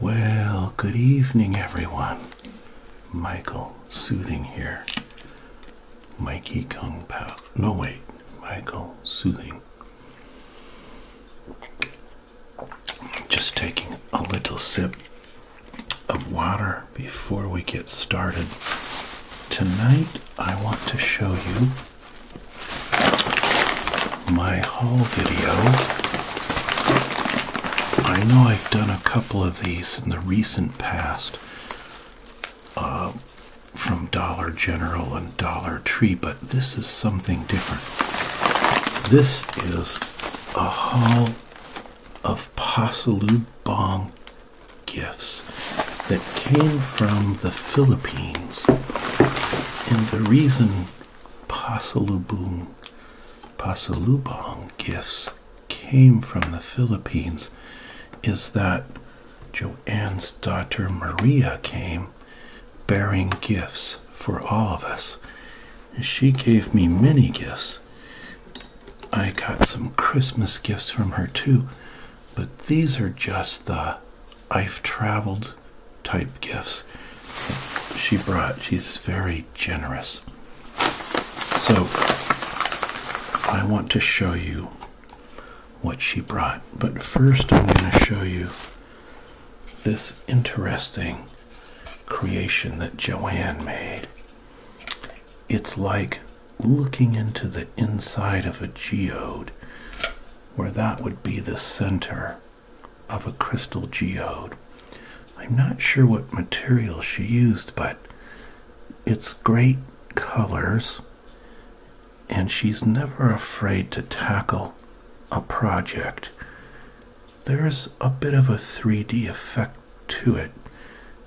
Well, good evening, everyone. Michael Soothing here. Mikey Kung Pao. No, wait. Michael Soothing. Just taking a little sip of water before we get started. Tonight, I want to show you my haul video. I know I've done a couple of these in the recent past uh, from Dollar General and Dollar Tree, but this is something different. This is a haul of Pasalubong gifts that came from the Philippines. And the reason Pasalubong Pasalubong gifts came from the Philippines is that Joanne's daughter Maria came bearing gifts for all of us. she gave me many gifts. I got some Christmas gifts from her too, but these are just the I've traveled type gifts she brought. She's very generous. So I want to show you what she brought. But first, I'm going to show you this interesting creation that Joanne made. It's like looking into the inside of a geode, where that would be the center of a crystal geode. I'm not sure what material she used, but it's great colors, and she's never afraid to tackle a project. There's a bit of a 3D effect to it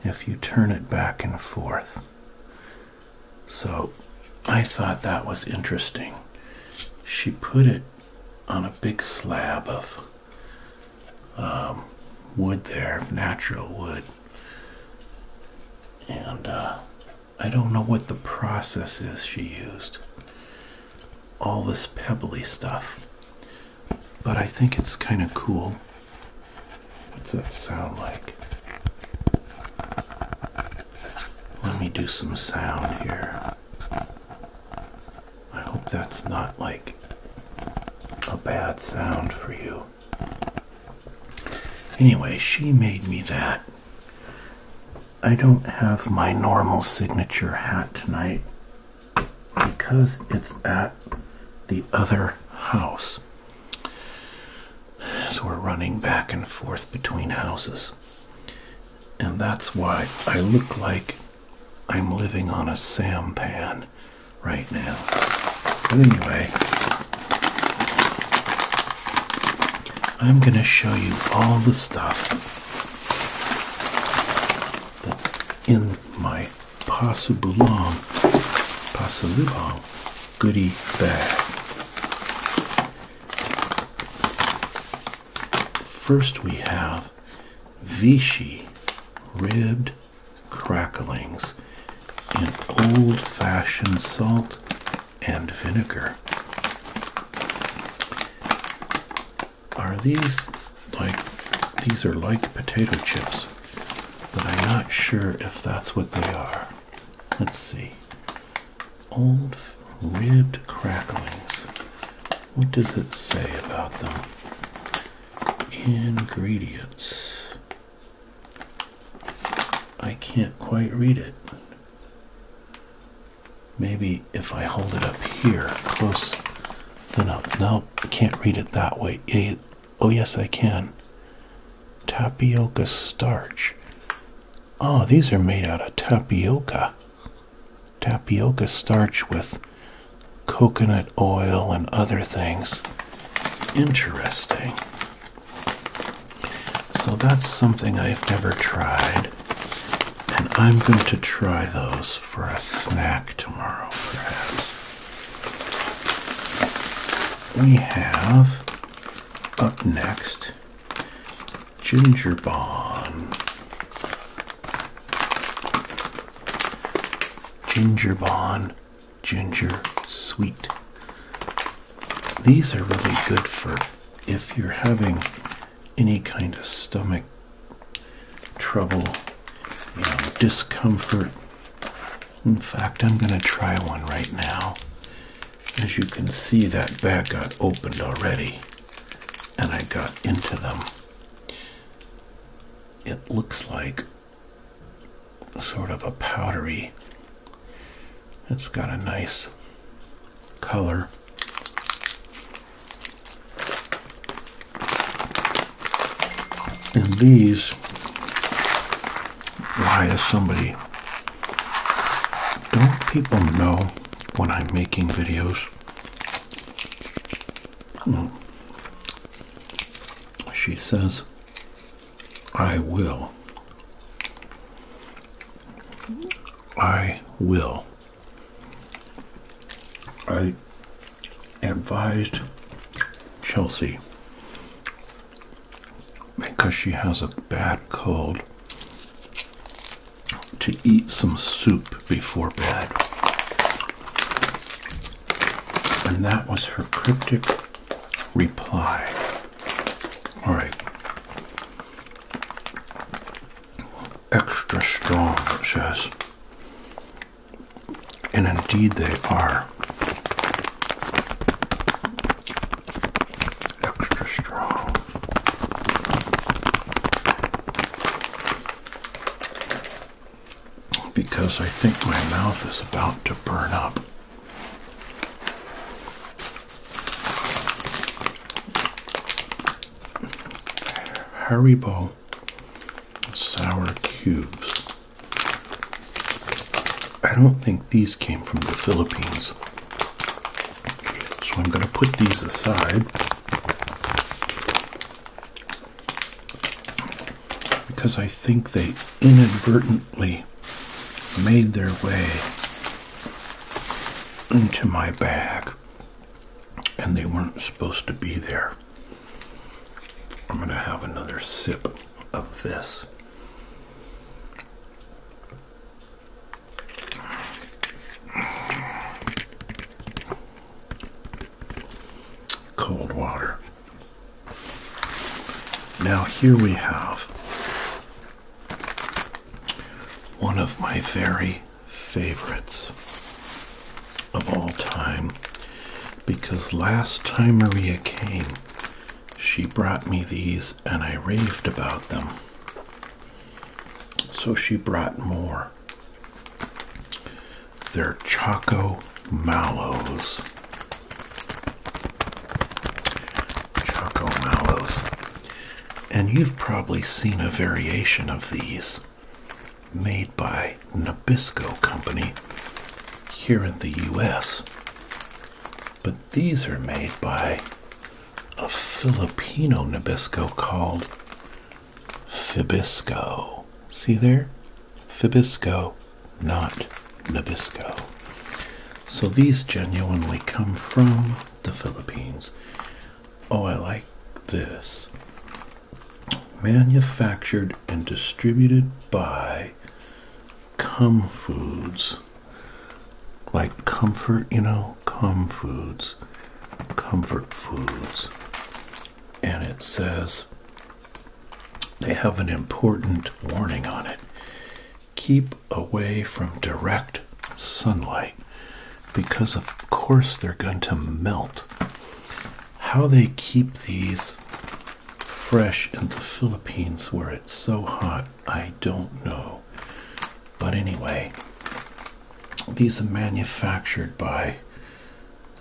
if you turn it back and forth. So I thought that was interesting. She put it on a big slab of um, wood there, natural wood. And uh, I don't know what the process is she used. All this pebbly stuff. But I think it's kind of cool. What's that sound like? Let me do some sound here. I hope that's not like a bad sound for you. Anyway, she made me that. I don't have my normal signature hat tonight because it's at the other house. So we're running back and forth between houses. And that's why I look like I'm living on a sampan right now. But anyway, I'm going to show you all the stuff that's in my Pasubulong, Pasulubong goodie bag. First, we have Vichy ribbed cracklings in old fashioned salt and vinegar. Are these like these are like potato chips, but I'm not sure if that's what they are. Let's see old ribbed cracklings. What does it say about them? Ingredients. I can't quite read it. Maybe if I hold it up here, close then up. No, I can't read it that way. Oh, yes, I can. Tapioca starch. Oh, these are made out of tapioca tapioca starch with coconut oil and other things. Interesting. So that's something I've never tried. And I'm going to try those for a snack tomorrow, perhaps. We have up next Ginger Bomb. Ginger Bond, Ginger Sweet. These are really good for if you're having any kind of stomach trouble, discomfort. In fact, I'm going to try one right now. As you can see, that bag got opened already and I got into them, it looks like sort of a powdery, it's got a nice color. And these, why is somebody, don't people know when I'm making videos Hmm. She says, I will. I will. I advised Chelsea because she has a bad cold to eat some soup before bed. And that was her cryptic reply. All right. Extra strong, it says. And indeed they are. Extra strong because I think my mouth is about to burn up. Haribo sour cubes. I don't think these came from the Philippines. So I'm going to put these aside because I think they inadvertently made their way into my bag and they weren't supposed to be there. I'm going to have another sip of this. Cold water. Now, here we have one of my very favorites of all time because last time Maria came, she brought me these and I raved about them. So she brought more. They're Choco Mallows. Choco Mallows. And you've probably seen a variation of these made by Nabisco Company here in the US. But these are made by a Filipino Nabisco called Fibisco. See there? Fibisco, not Nabisco. So these genuinely come from the Philippines. Oh, I like this. Manufactured and distributed by Cum Foods. Like comfort, you know, call foods comfort foods and it says they have an important warning on it keep away from direct sunlight because of course they're going to melt how they keep these fresh in the philippines where it's so hot i don't know but anyway these are manufactured by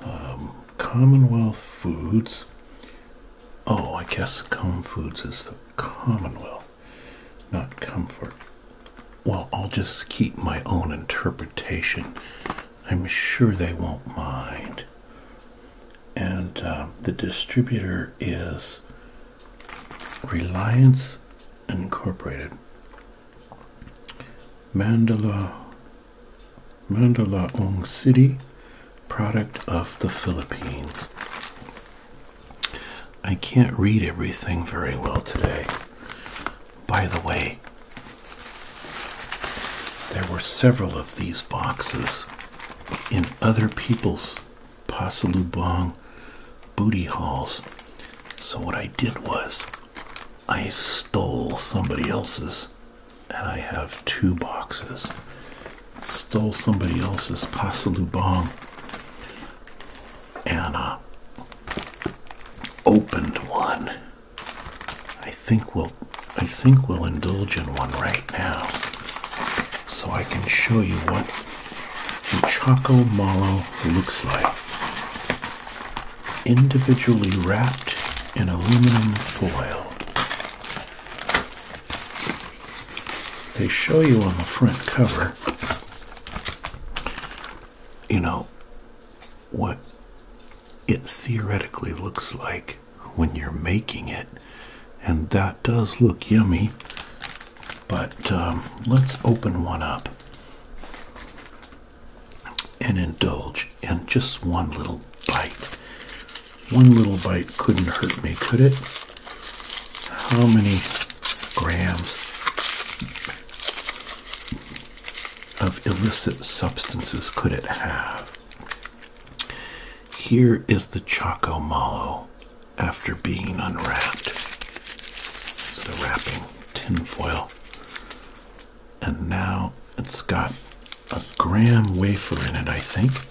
um, Commonwealth Foods. Oh, I guess Com Foods is the Commonwealth, not Comfort. Well, I'll just keep my own interpretation. I'm sure they won't mind. And um, the distributor is Reliance Incorporated. Mandala Mandalaong City, product of the Philippines. I can't read everything very well today. By the way, there were several of these boxes in other people's Pasalubong booty hauls. So what I did was I stole somebody else's and I have two boxes. Stole somebody else's Pasalubong and uh, opened one. I think we'll I think we'll indulge in one right now so I can show you what Choco Chocomolo looks like. Individually wrapped in aluminum foil. They show you on the front cover, you know, what it theoretically looks like when you're making it. And that does look yummy. But um, let's open one up and indulge in just one little bite. One little bite couldn't hurt me, could it? How many grams of illicit substances could it have? Here is the Choco Malo after being unwrapped. It's the wrapping tinfoil. And now it's got a graham wafer in it, I think.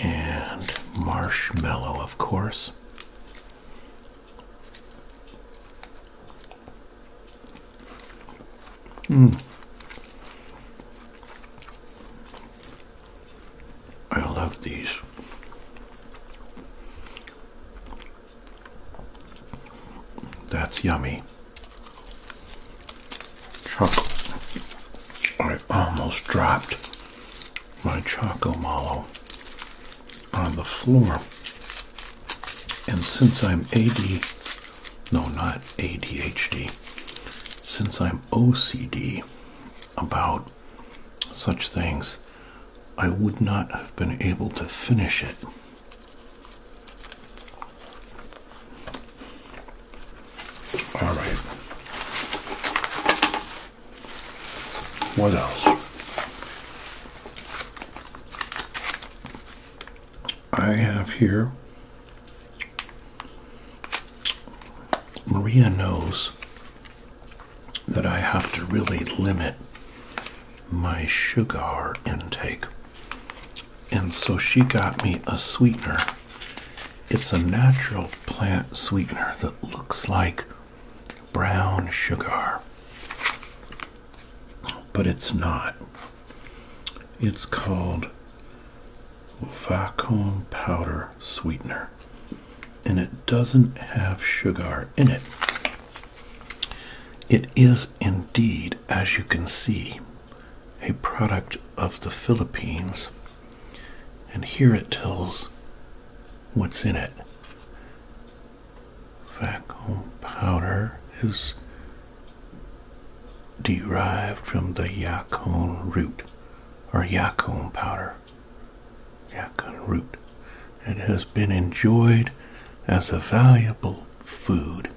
And marshmallow, of course. Mmm. I love these. That's yummy. Choco. I almost dropped my Choco Mallow on the floor. And since I'm AD, no, not ADHD, since I'm OCD about such things, I would not have been able to finish it. All right. What else? I have here Maria knows that I have to really limit my sugar intake. And so she got me a sweetener. It's a natural plant sweetener that looks like brown sugar, but it's not. It's called vacuum powder sweetener and it doesn't have sugar in it. It is indeed, as you can see, a product of the Philippines, and here it tells what's in it. Vacuum powder is derived from the yacon root or yacon powder yucca root. It has been enjoyed as a valuable food,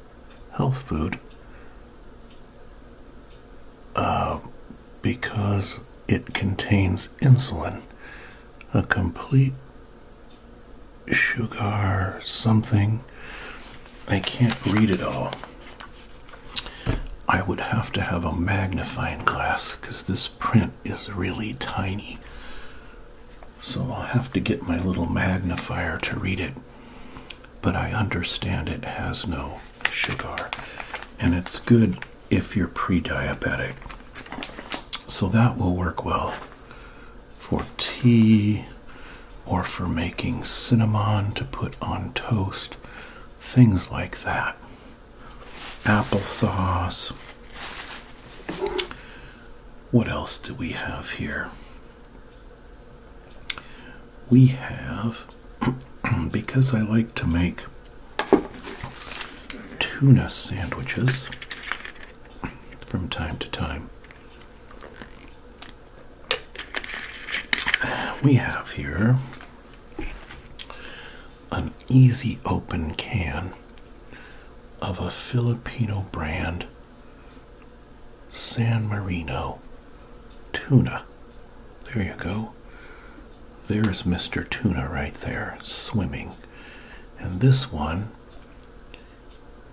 health food, uh, because it contains insulin, a complete sugar something. I can't read it all. I would have to have a magnifying glass because this print is really tiny. So I'll have to get my little magnifier to read it. But I understand it has no sugar. And it's good if you're pre diabetic. So that will work well for tea or for making cinnamon to put on toast, things like that applesauce. What else do we have here? We have, because I like to make tuna sandwiches from time to time. We have here an easy open can of a Filipino brand San Marino tuna. There you go. There's Mr. Tuna right there swimming. And this one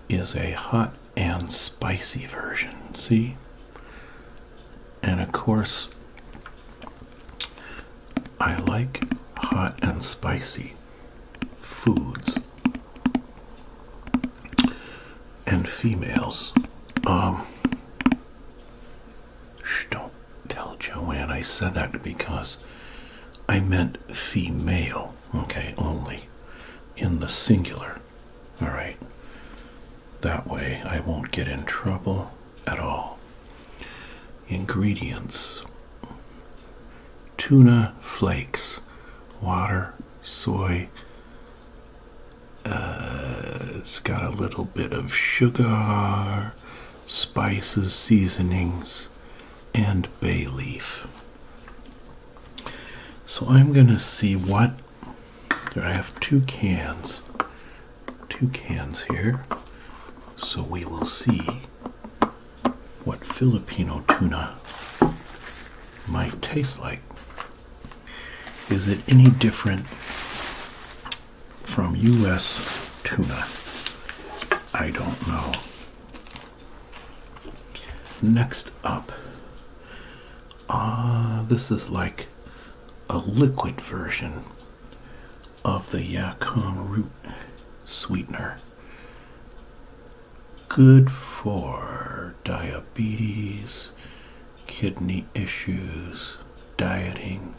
is a hot and spicy version. See? And of course, I like hot and spicy foods and females. Um, don't tell Joanne I said that because I meant female, okay, only in the singular. All right, that way I won't get in trouble at all. Ingredients tuna flakes, water, soy. Uh, it's got a little bit of sugar, spices, seasonings, and bay leaf. So I'm going to see what. There I have two cans two cans here. So we will see what Filipino tuna might taste like. Is it any different from U.S. tuna? I don't know. Next up, ah, this is like a liquid version of the yacon root sweetener. Good for diabetes, kidney issues, dieting,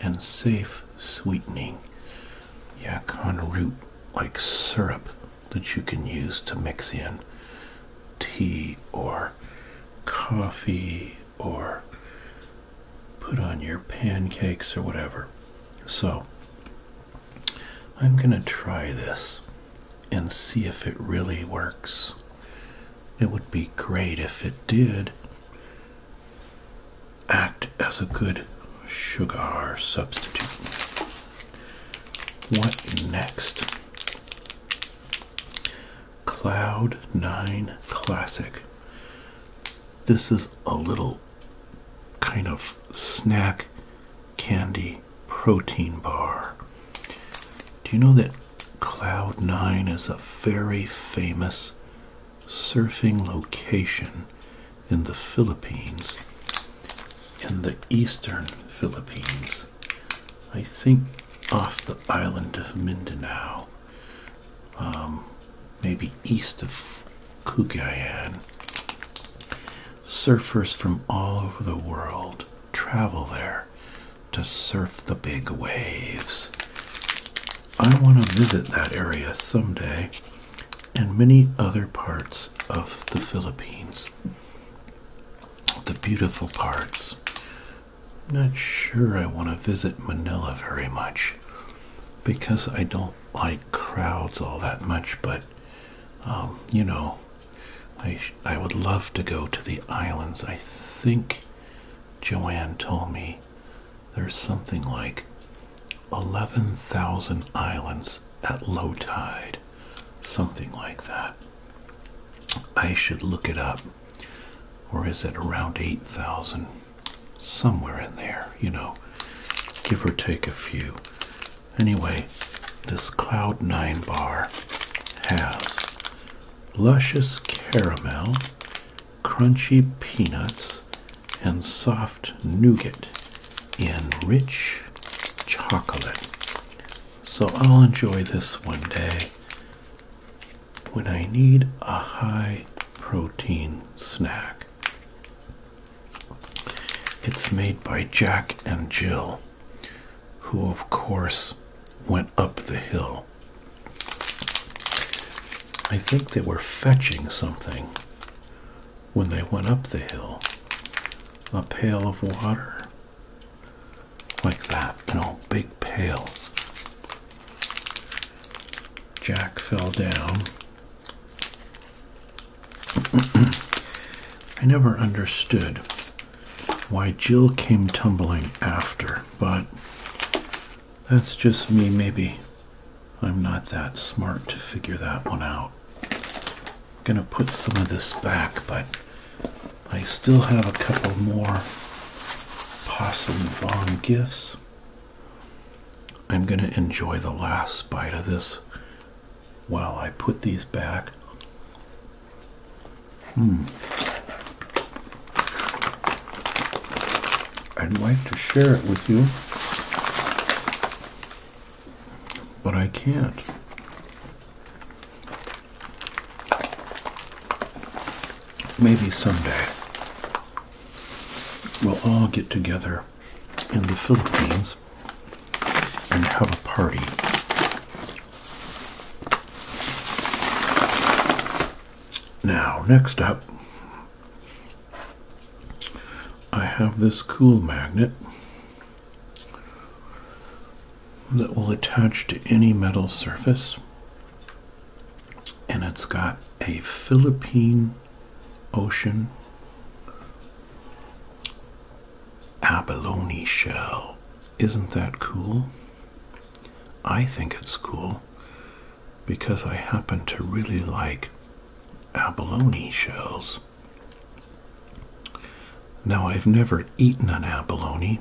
and safe sweetening. Yacon root like syrup that you can use to mix in tea or coffee or put on your pancakes or whatever. So I'm going to try this and see if it really works. It would be great if it did act as a good sugar substitute. What next? Cloud 9 Classic. This is a little kind of snack candy protein bar. Do you know that Cloud 9 is a very famous surfing location in the Philippines, in the eastern Philippines? I think off the island of Mindanao. Um, maybe east of Kugayan. Surfers from all over the world travel there to surf the big waves. I want to visit that area someday and many other parts of the Philippines. The beautiful parts I'm not sure I want to visit Manila very much because I don't like crowds all that much, but um, you know, I, I would love to go to the islands. I think Joanne told me there's something like 11,000 islands at low tide, something like that. I should look it up or is it around 8,000? Somewhere in there, you know, give or take a few. Anyway, this Cloud 9 bar has luscious caramel, crunchy peanuts, and soft nougat in rich chocolate. So I'll enjoy this one day when I need a high protein snack. It's made by Jack and Jill, who, of course, went up the hill. I think they were fetching something when they went up the hill. A pail of water. Like that, an old big pail. Jack fell down. I never understood why Jill came tumbling after, but that's just me, maybe. I'm not that smart to figure that one out. I'm gonna put some of this back, but I still have a couple more Possum Vaughn gifts. I'm going to enjoy the last bite of this while I put these back. Hmm. I'd like to share it with you, but I can't maybe someday we'll all get together in the Philippines and have a party. Now, next up, I have this cool magnet that will attach to any metal surface and it's got a Philippine Ocean abalone shell. Isn't that cool? I think it's cool because I happen to really like abalone shells. Now, I've never eaten an abalone,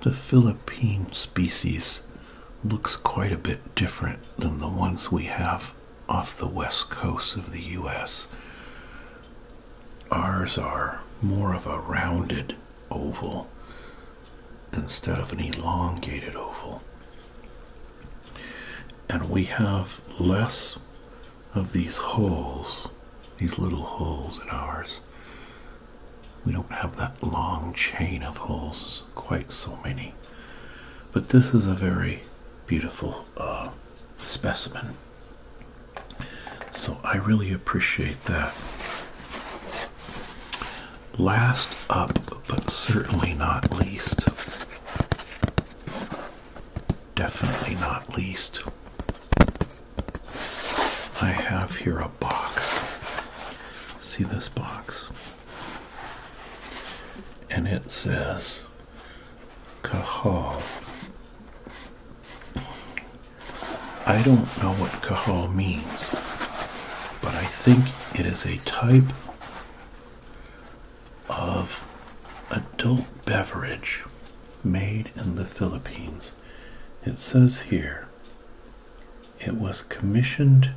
the Philippine species looks quite a bit different than the ones we have off the west coast of the US. Ours are more of a rounded oval instead of an elongated oval. And we have less of these holes, these little holes in ours, we don't have that long chain of holes, quite so many. But this is a very beautiful uh, specimen. So I really appreciate that. Last up, but certainly not least, definitely not least, I have here a box. See this box? And it says Kahal. I don't know what Kahal means, but I think it is a type of adult beverage made in the Philippines. It says here it was commissioned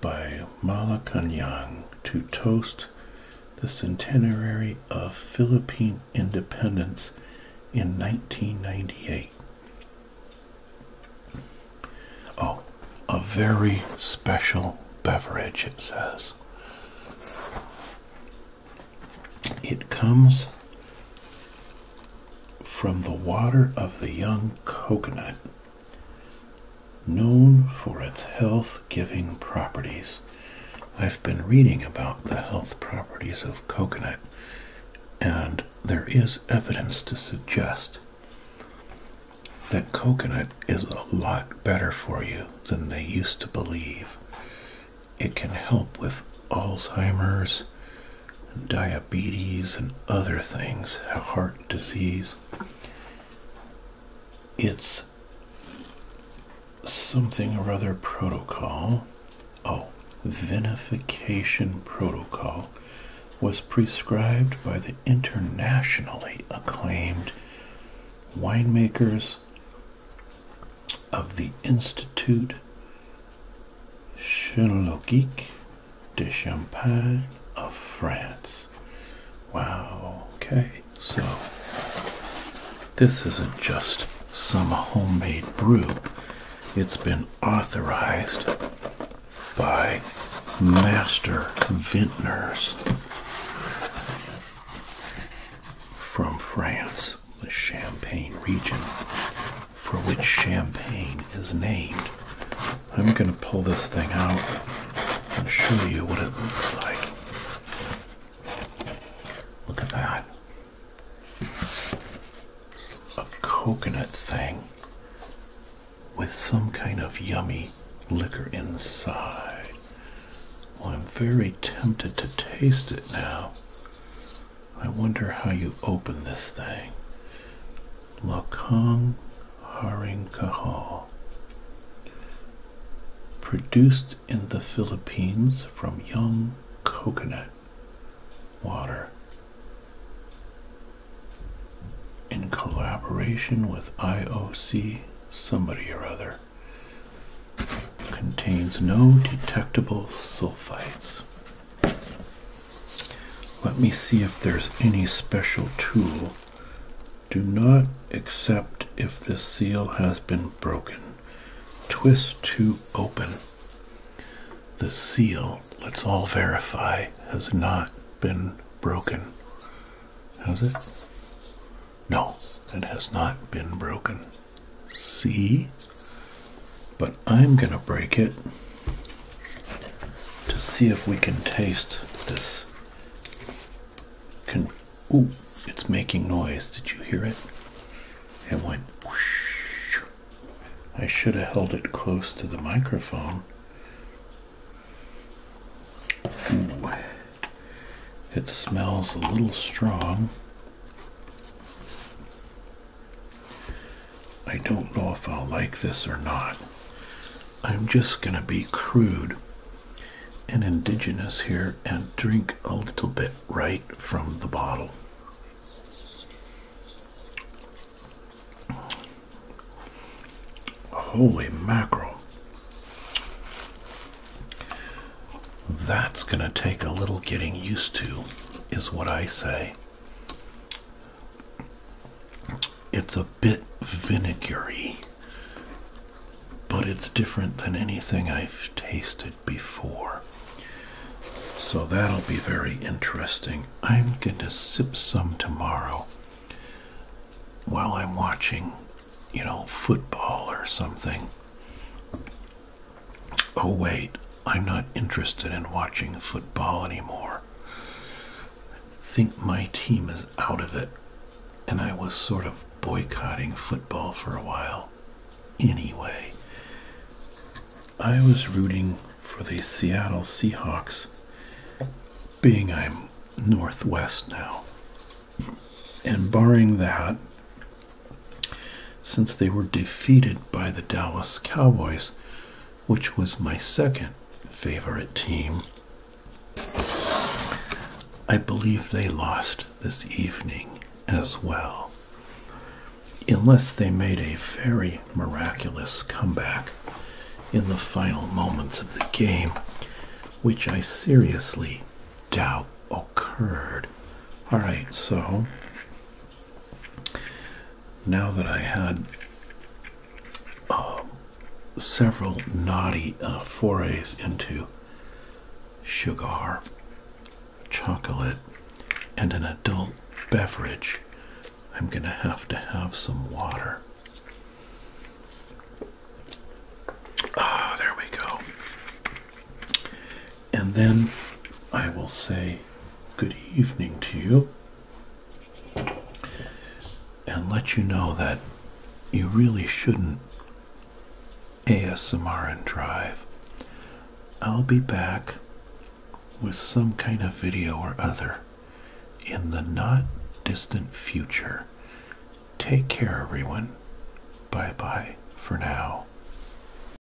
by Malakanyang to toast the centenary of Philippine independence in 1998. Oh, a very special beverage, it says. It comes from the water of the young coconut, known for its health giving properties. I've been reading about the health properties of coconut, and there is evidence to suggest that coconut is a lot better for you than they used to believe. It can help with Alzheimer's, diabetes and other things, heart disease. It's something or other protocol. Oh, vinification protocol was prescribed by the internationally acclaimed winemakers of the Institute Chirologique de Champagne of France. Wow, okay, so this isn't just some homemade brew, it's been authorized by master vintners from France the Champagne region for which Champagne is named. I'm going to pull this thing out and show you what it looks like. Look at that. A coconut thing with some kind of yummy liquor inside. I'm very tempted to taste it now. I wonder how you open this thing. Lokong Haring Kahal. Produced in the Philippines from young coconut water. In collaboration with IOC somebody or other. Contains no detectable sulfites. Let me see if there's any special tool. Do not accept if this seal has been broken. Twist to open. The seal, let's all verify, has not been broken. Has it? No, it has not been broken. See, but I'm going to break it to see if we can taste this. Can, ooh, it's making noise. Did you hear it? It went whoosh. I should have held it close to the microphone. Ooh. It smells a little strong. I don't know if I'll like this or not. I'm just going to be crude and indigenous here and drink a little bit right from the bottle. Holy mackerel. That's going to take a little getting used to, is what I say. It's a bit vinegary, but it's different than anything I've tasted before. So that'll be very interesting. I'm going to sip some tomorrow while I'm watching, you know, football or something. Oh, wait, I'm not interested in watching football anymore. Think my team is out of it, and I was sort of boycotting football for a while. Anyway, I was rooting for the Seattle Seahawks, being I'm Northwest now. And barring that, since they were defeated by the Dallas Cowboys, which was my second favorite team. I believe they lost this evening as well, unless they made a very miraculous comeback in the final moments of the game, which I seriously doubt occurred. All right, so now that I had uh, several naughty uh, forays into sugar, chocolate, and an adult beverage, I'm going to have to have some water. Ah, there we go. And then I will say good evening to you and let you know that you really shouldn't ASMR and drive. I'll be back with some kind of video or other in the not distant future. Take care, everyone. Bye bye for now.